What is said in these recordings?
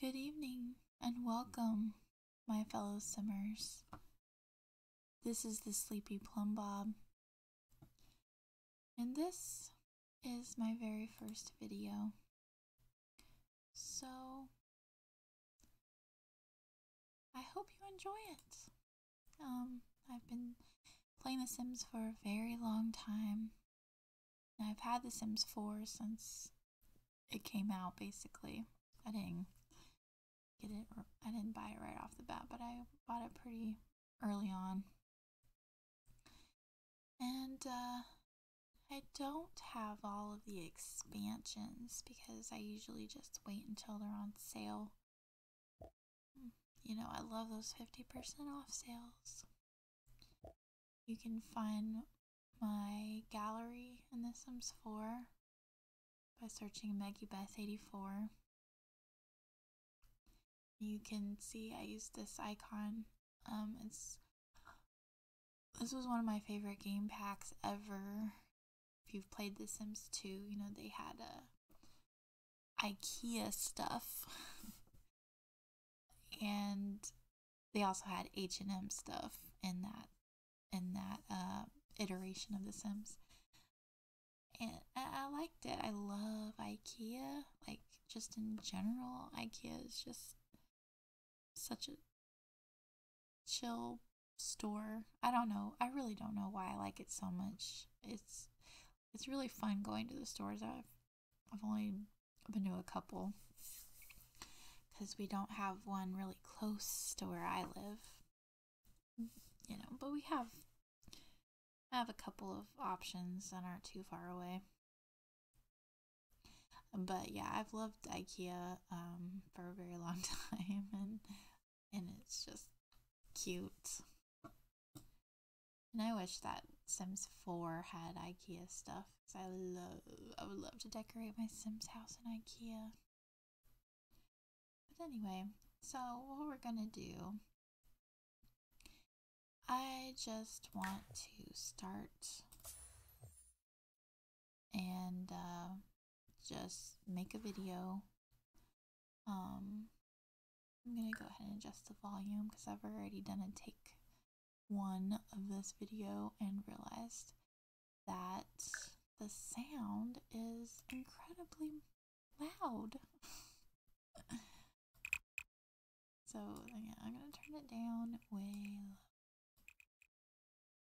Good evening and welcome, my fellow simmers. This is the Sleepy Plum Bob, and this is my very first video. So, I hope you enjoy it. Um, I've been playing The Sims for a very long time. I've had The Sims 4 since it came out, basically. I didn't get it, I didn't buy it right off the bat, but I bought it pretty early on. And, uh, I don't have all of the expansions because I usually just wait until they're on sale. You know, I love those 50% off sales. You can find my gallery in The Sims 4 by searching Maggie Beth 84. You can see I use this icon. Um, it's this was one of my favorite game packs ever. If you've played The Sims 2, you know they had a uh, IKEA stuff. and they also had H&M stuff in that in that uh, iteration of The Sims. And I liked it. I love IKEA. Like just in general, IKEA is just such a chill store. I don't know. I really don't know why I like it so much. It's it's really fun going to the stores. I've I've only been to a couple because we don't have one really close to where I live. You know, but we have have a couple of options that aren't too far away. But yeah, I've loved IKEA um, for a very long time, and and it's just cute. And I wish that Sims 4 had IKEA stuff because I love I would love to decorate my Sims house in IKEA. But anyway, so what we're gonna do I just want to start and uh, just make a video. Um, I'm gonna go ahead and adjust the volume because I've already done a take one of this video and realized that the sound is incredibly loud. so yeah, I'm gonna turn it down way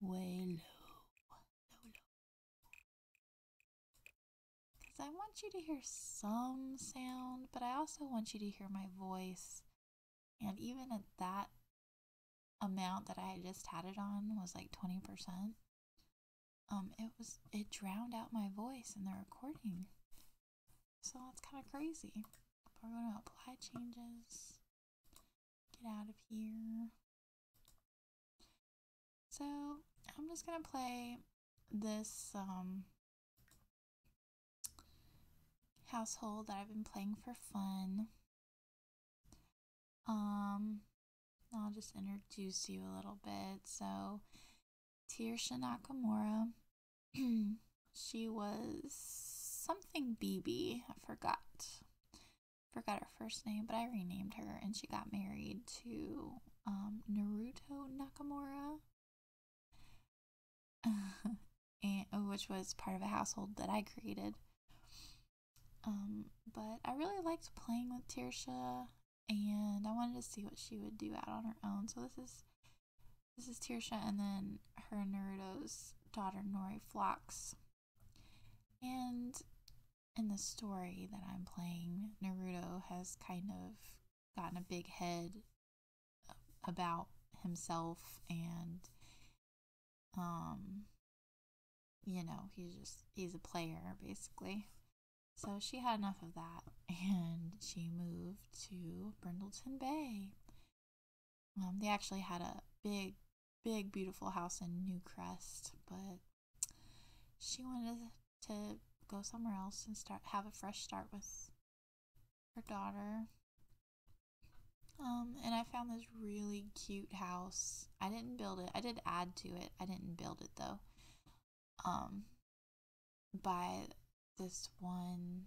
way low, low, low. Because I want you to hear some sound, but I also want you to hear my voice. And even at that amount that I just had it on was like 20%. Um, it was it drowned out my voice in the recording. So that's kind of crazy. We're going to apply changes. Get out of here. So I'm just going to play this um, household that I've been playing for fun. Um, I'll just introduce you a little bit. So, Tir Nakamura. She was something BB. I forgot. Forgot her first name, but I renamed her and she got married to um, Naruto Nakamura. and, uh, which was part of a household that I created. Um, but I really liked playing with Tirsha and I wanted to see what she would do out on her own. So this is this is Tirsha and then her Naruto's daughter Nori Flocks. And in the story that I'm playing, Naruto has kind of gotten a big head about himself and um you know, he's just he's a player basically. So she had enough of that and she moved to Brindleton Bay um, they actually had a big, big, beautiful house in New Crest, but she wanted to go somewhere else and start have a fresh start with her daughter. Um, and I found this really cute house. I didn't build it. I did add to it. I didn't build it though. Um, by this one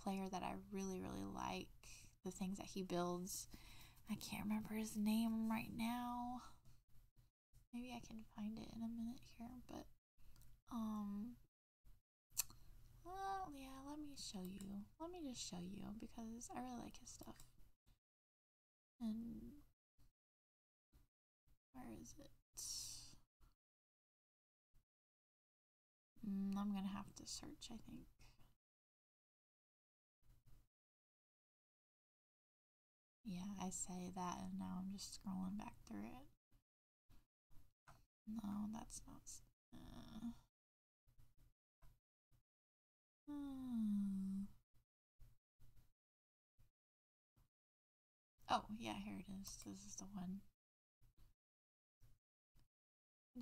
player that I really, really like. The things that he builds. I can't remember his name right now. Maybe I can find it in a minute here, but um well, yeah, let me show you. Let me just show you because I really like his stuff. And where is it? Mm, I'm gonna have to search, I think. Yeah, I say that and now I'm just scrolling back through it. No, that's not. Uh, uh. Oh, yeah, here it is. This is the one.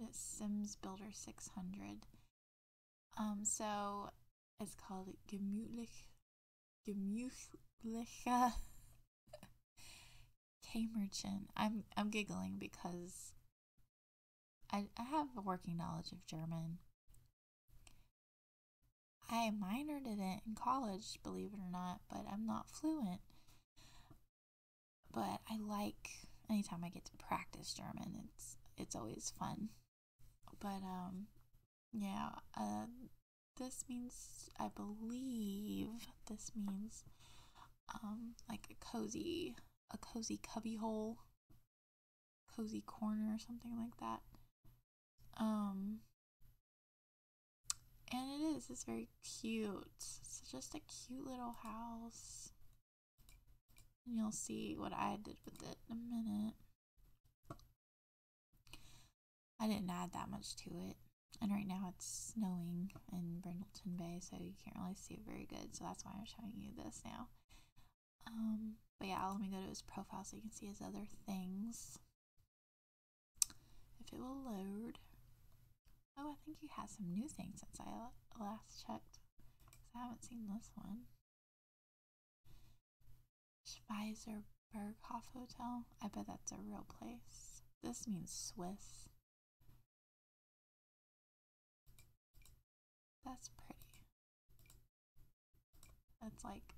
It's Sims Builder 600. Um, so it's called Gemütlich, Gemütlicher Kämmerchen. I'm I'm giggling because I I have a working knowledge of German. I minored in it in college, believe it or not, but I'm not fluent. But I like anytime I get to practice German. It's it's always fun. But um yeah, uh this means I believe this means um like a cozy a cozy cubbyhole, cozy corner or something like that. Um and it is, it's very cute. It's just a cute little house. And you'll see what I did with it in a minute. I didn't add that much to it. And right now it's snowing in Brindleton Bay, so you can't really see it very good. So that's why I'm showing you this now. Um, but yeah, let me go to his profile so you can see his other things. If it will load. Oh, I think you have some new things since I last checked. I haven't seen this one. Schweizer Berghof Hotel. I bet that's a real place. This means Swiss. That's pretty. That's like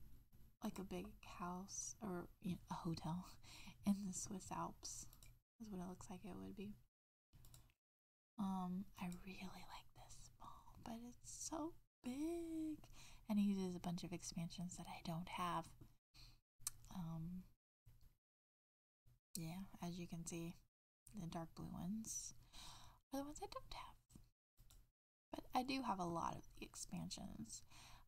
like a big house or a hotel in the Swiss Alps. That's what it looks like it would be. Um, I really like this ball, but it's so big. And it uses a bunch of expansions that I don't have. Um, yeah, as you can see, the dark blue ones are the ones I don't have. But I do have a lot of the expansions.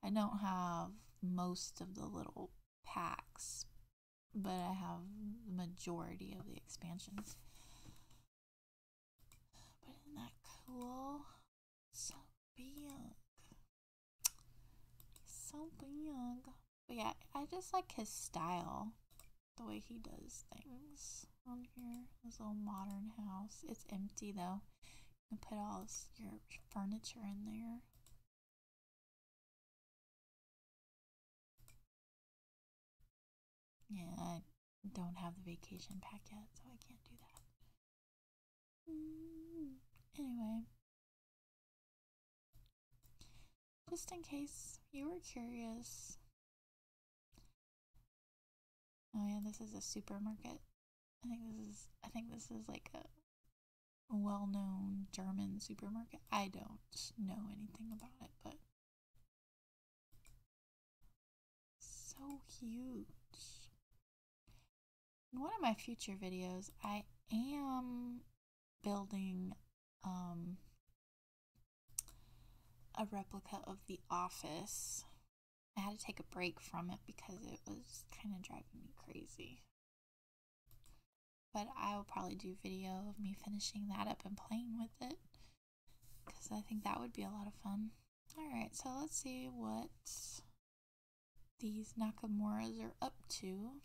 I don't have most of the little packs, but I have the majority of the expansions. But isn't that cool? So big. So big. But yeah, I just like his style. The way he does things on here. This little modern house. It's empty though. You can put all this, your furniture in there. Yeah, I don't have the vacation pack yet, so I can't do that. anyway, just in case you were curious. Oh, yeah, this is a supermarket. I think this is I think this is like a well-known German supermarket. I don't know anything about it, but so huge. In one of my future videos, I am building um a replica of the office. I had to take a break from it because it was kind of driving me crazy. But I'll probably do video of me finishing that up and playing with it because I think that would be a lot of fun. Alright, so let's see what these Nakamuras are up to.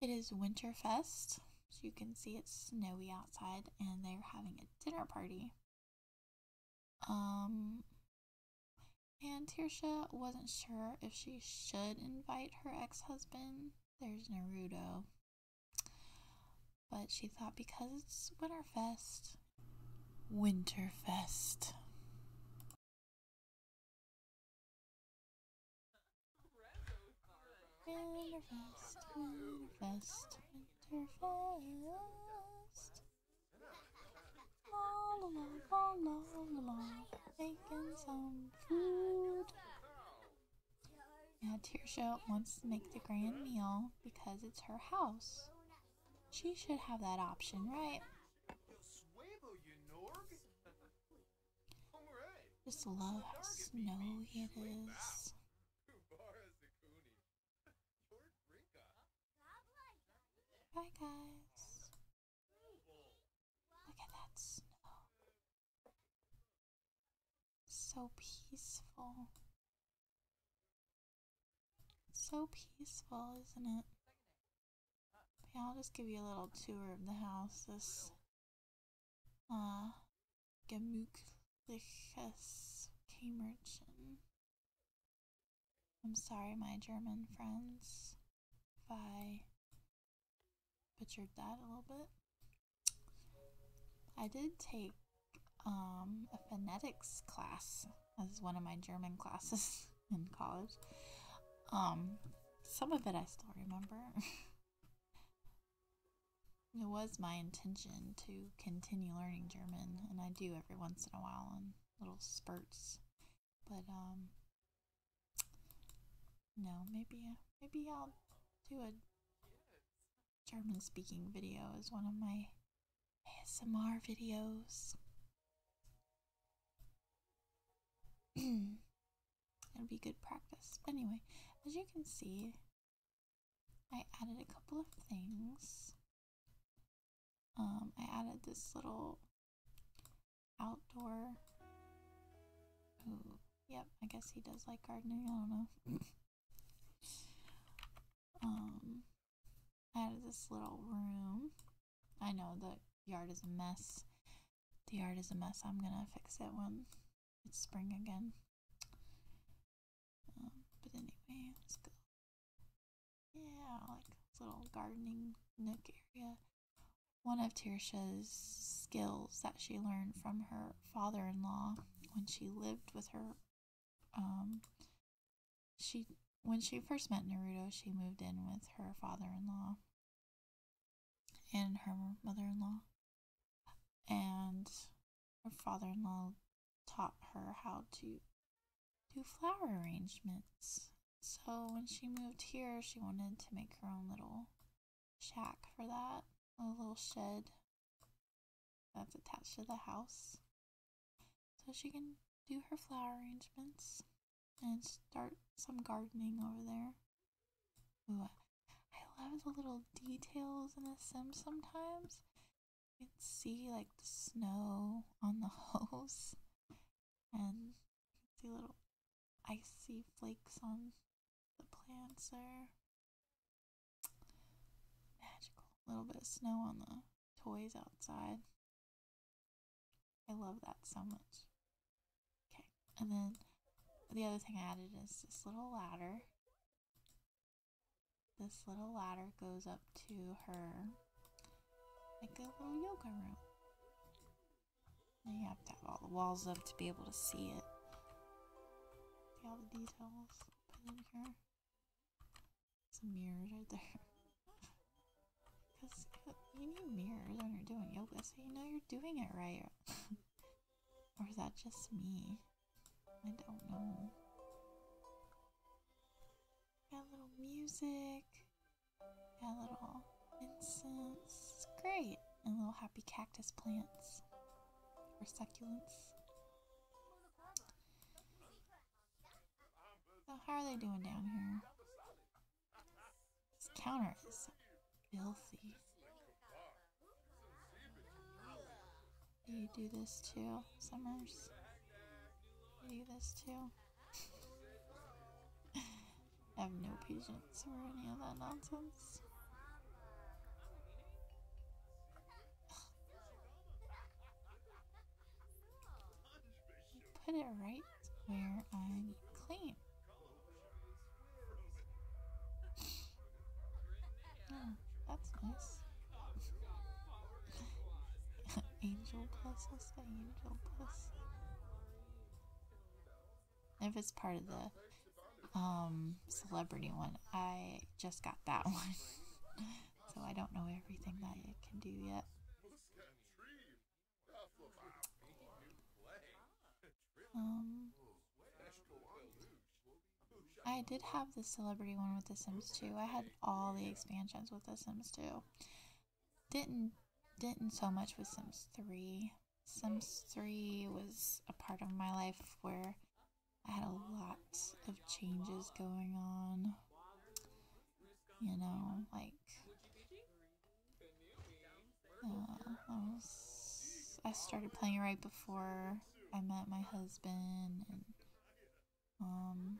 It is Winterfest, so you can see it's snowy outside, and they're having a dinner party. Um, and Tirsha wasn't sure if she should invite her ex husband. There's Naruto. But she thought because it's Winterfest, Winterfest. Winterfest, Winterfest, Winterfest. Yeah, along, all wants to make the grand meal because it's her house. She should have that option, right? Just love how snowy it is. Bye, guys. Look at that snow. So peaceful. So peaceful, isn't it? I'll just give you a little tour of the house. This uh, gemütliches Kämmerchen. I'm sorry, my German friends, if I butchered that a little bit. I did take um, a phonetics class as one of my German classes in college. Um, some of it I still remember. it was my intention to continue learning German, and I do every once in a while, little spurts. But um no, maybe maybe I'll do a German speaking video as one of my ASMR videos. It'll be good practice. anyway, as you can see, I added a couple of things um, I added this little outdoor. yep, I guess he does like gardening. I don't know. um, I added this little room. I know the yard is a mess. The yard is a mess. I'm gonna fix it when it's spring again. Um, but anyway, let's go yeah, like little gardening nook area. One of Tirsha's skills that she learned from her father in law when she lived with her um she when she first met Naruto she moved in with her father in law and her mother in law and her father in law taught her how to do flower arrangements. So when she moved here, she wanted to make her own little shack for that, a little shed that's attached to the house. So she can do her flower arrangements and start some gardening over there. Ooh, I love the little details in The Sims sometimes. You can see like the snow on the hose, and you can see little icy flakes on the plants there. Magical. little bit of snow on the toys outside. I love that so much. Okay, and then the other thing I added is this little ladder this little ladder goes up to her, like a little yoga room. And you have to have all the walls up to be able to see it. See all the details put in here. Some mirrors right there. Because you need mirrors when you're doing yoga so you know you're doing it right. or is that just me? I don't know. Got little music, got little incense. Great. And little happy cactus plants or succulents. how are they doing down here? This counter is filthy. You do this too, Summers. You do this too. I have no patience for any of that nonsense. Put it right where I claim. Oh, that's nice. angel classes? Angel class? If it's part of the um, celebrity one, I just got that one. so I don't know everything that it can do yet. Um, I did have the celebrity one with The Sims too. I had all the expansions with The Sims too. Didn't didn't so much with Sims 3. Sims 3 was a part of my life where I had a lot of changes going on. You know, like uh, I, was, I started playing right before I met my husband and um,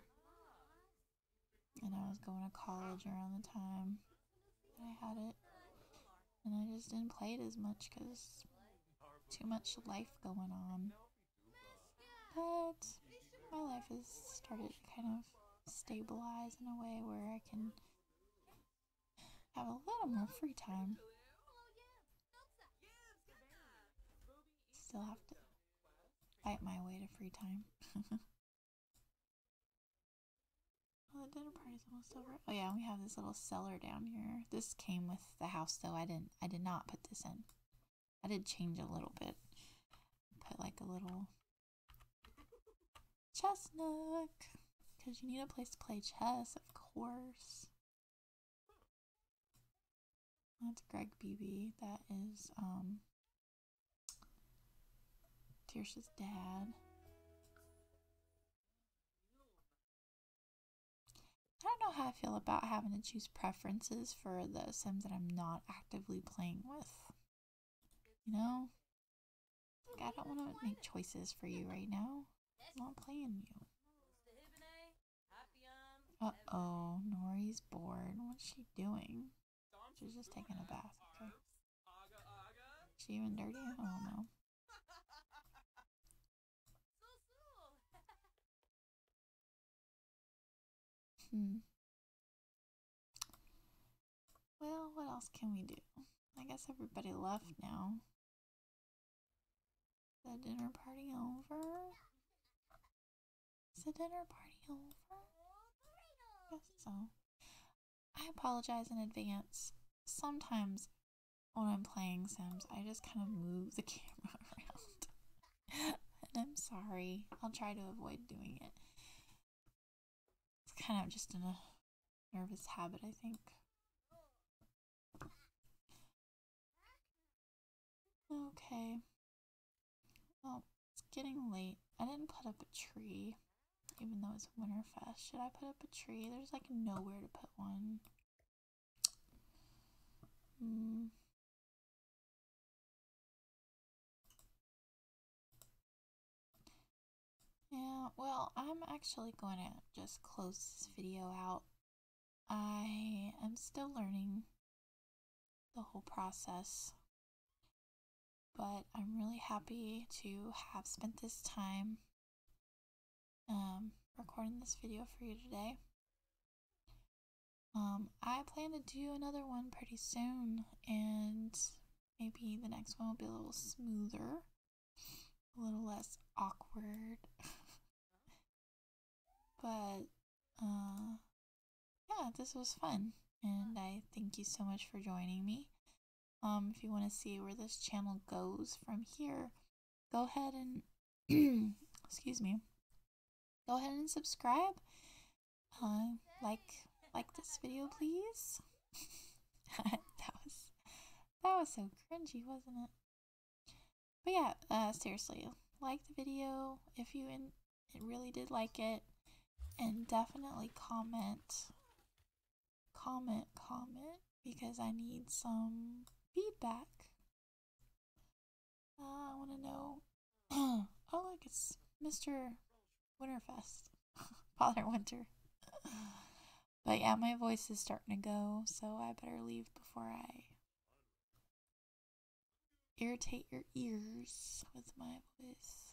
and I was going to college around the time that I had it. And I just didn't play it as much because too much life going on. But my life has started to kind of stabilize in a way where I can have a little more free time. Still have to fight my way to free time. well, oh, the dinner party's almost over. Oh yeah, we have this little cellar down here. This came with the house though. I didn't. I did not put this in. I did change a little bit. Put like a little chess nook because you need a place to play chess, of course. That's Greg Beebe. That is um Tierce's dad. I don't know how I feel about having to choose preferences for the Sims that I'm not actively playing with. You know? I don't want to make choices for you right now. I'm not playing you. Uh-oh, Nori's bored. What's she doing? She's just taking a bath, okay? she even dirty? I don't know. Hmm. Well, what else can we do? I guess everybody left now the dinner party over? Is the dinner party over? I guess so. I apologize in advance. Sometimes when I'm playing Sims, I just kind of move the camera around. and I'm sorry. I'll try to avoid doing it. It's kind of just in a nervous habit, I think. Okay. Well, it's getting late. I didn't put up a tree, even though it's Winterfest. Should I put up a tree? There's like nowhere to put one. Hmm. Yeah, well, I'm actually going to just close this video out I am still learning the whole process, but I'm really happy to have spent this time um, recording this video for you today. Um, I plan to do another one pretty soon, and maybe the next one will be a little smoother, a little less awkward. But, uh, yeah, this was fun. And I thank you so much for joining me. Um, if you want to see where this channel goes from here, go ahead and, excuse me, go ahead and subscribe. Uh, like, like this video, please. that was, that was so cringy, wasn't it? But yeah, uh, seriously, like the video if you in, really did like it, and definitely comment, comment, comment because I need some feedback. Uh, I want to know. oh, look, it's Mr. Winterfest, Father Winter. but yeah, my voice is starting to go, so I better leave before I irritate your ears with my voice.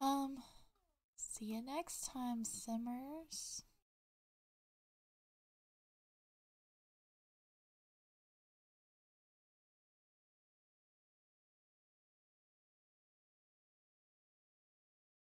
Um, see you next time, Simmers.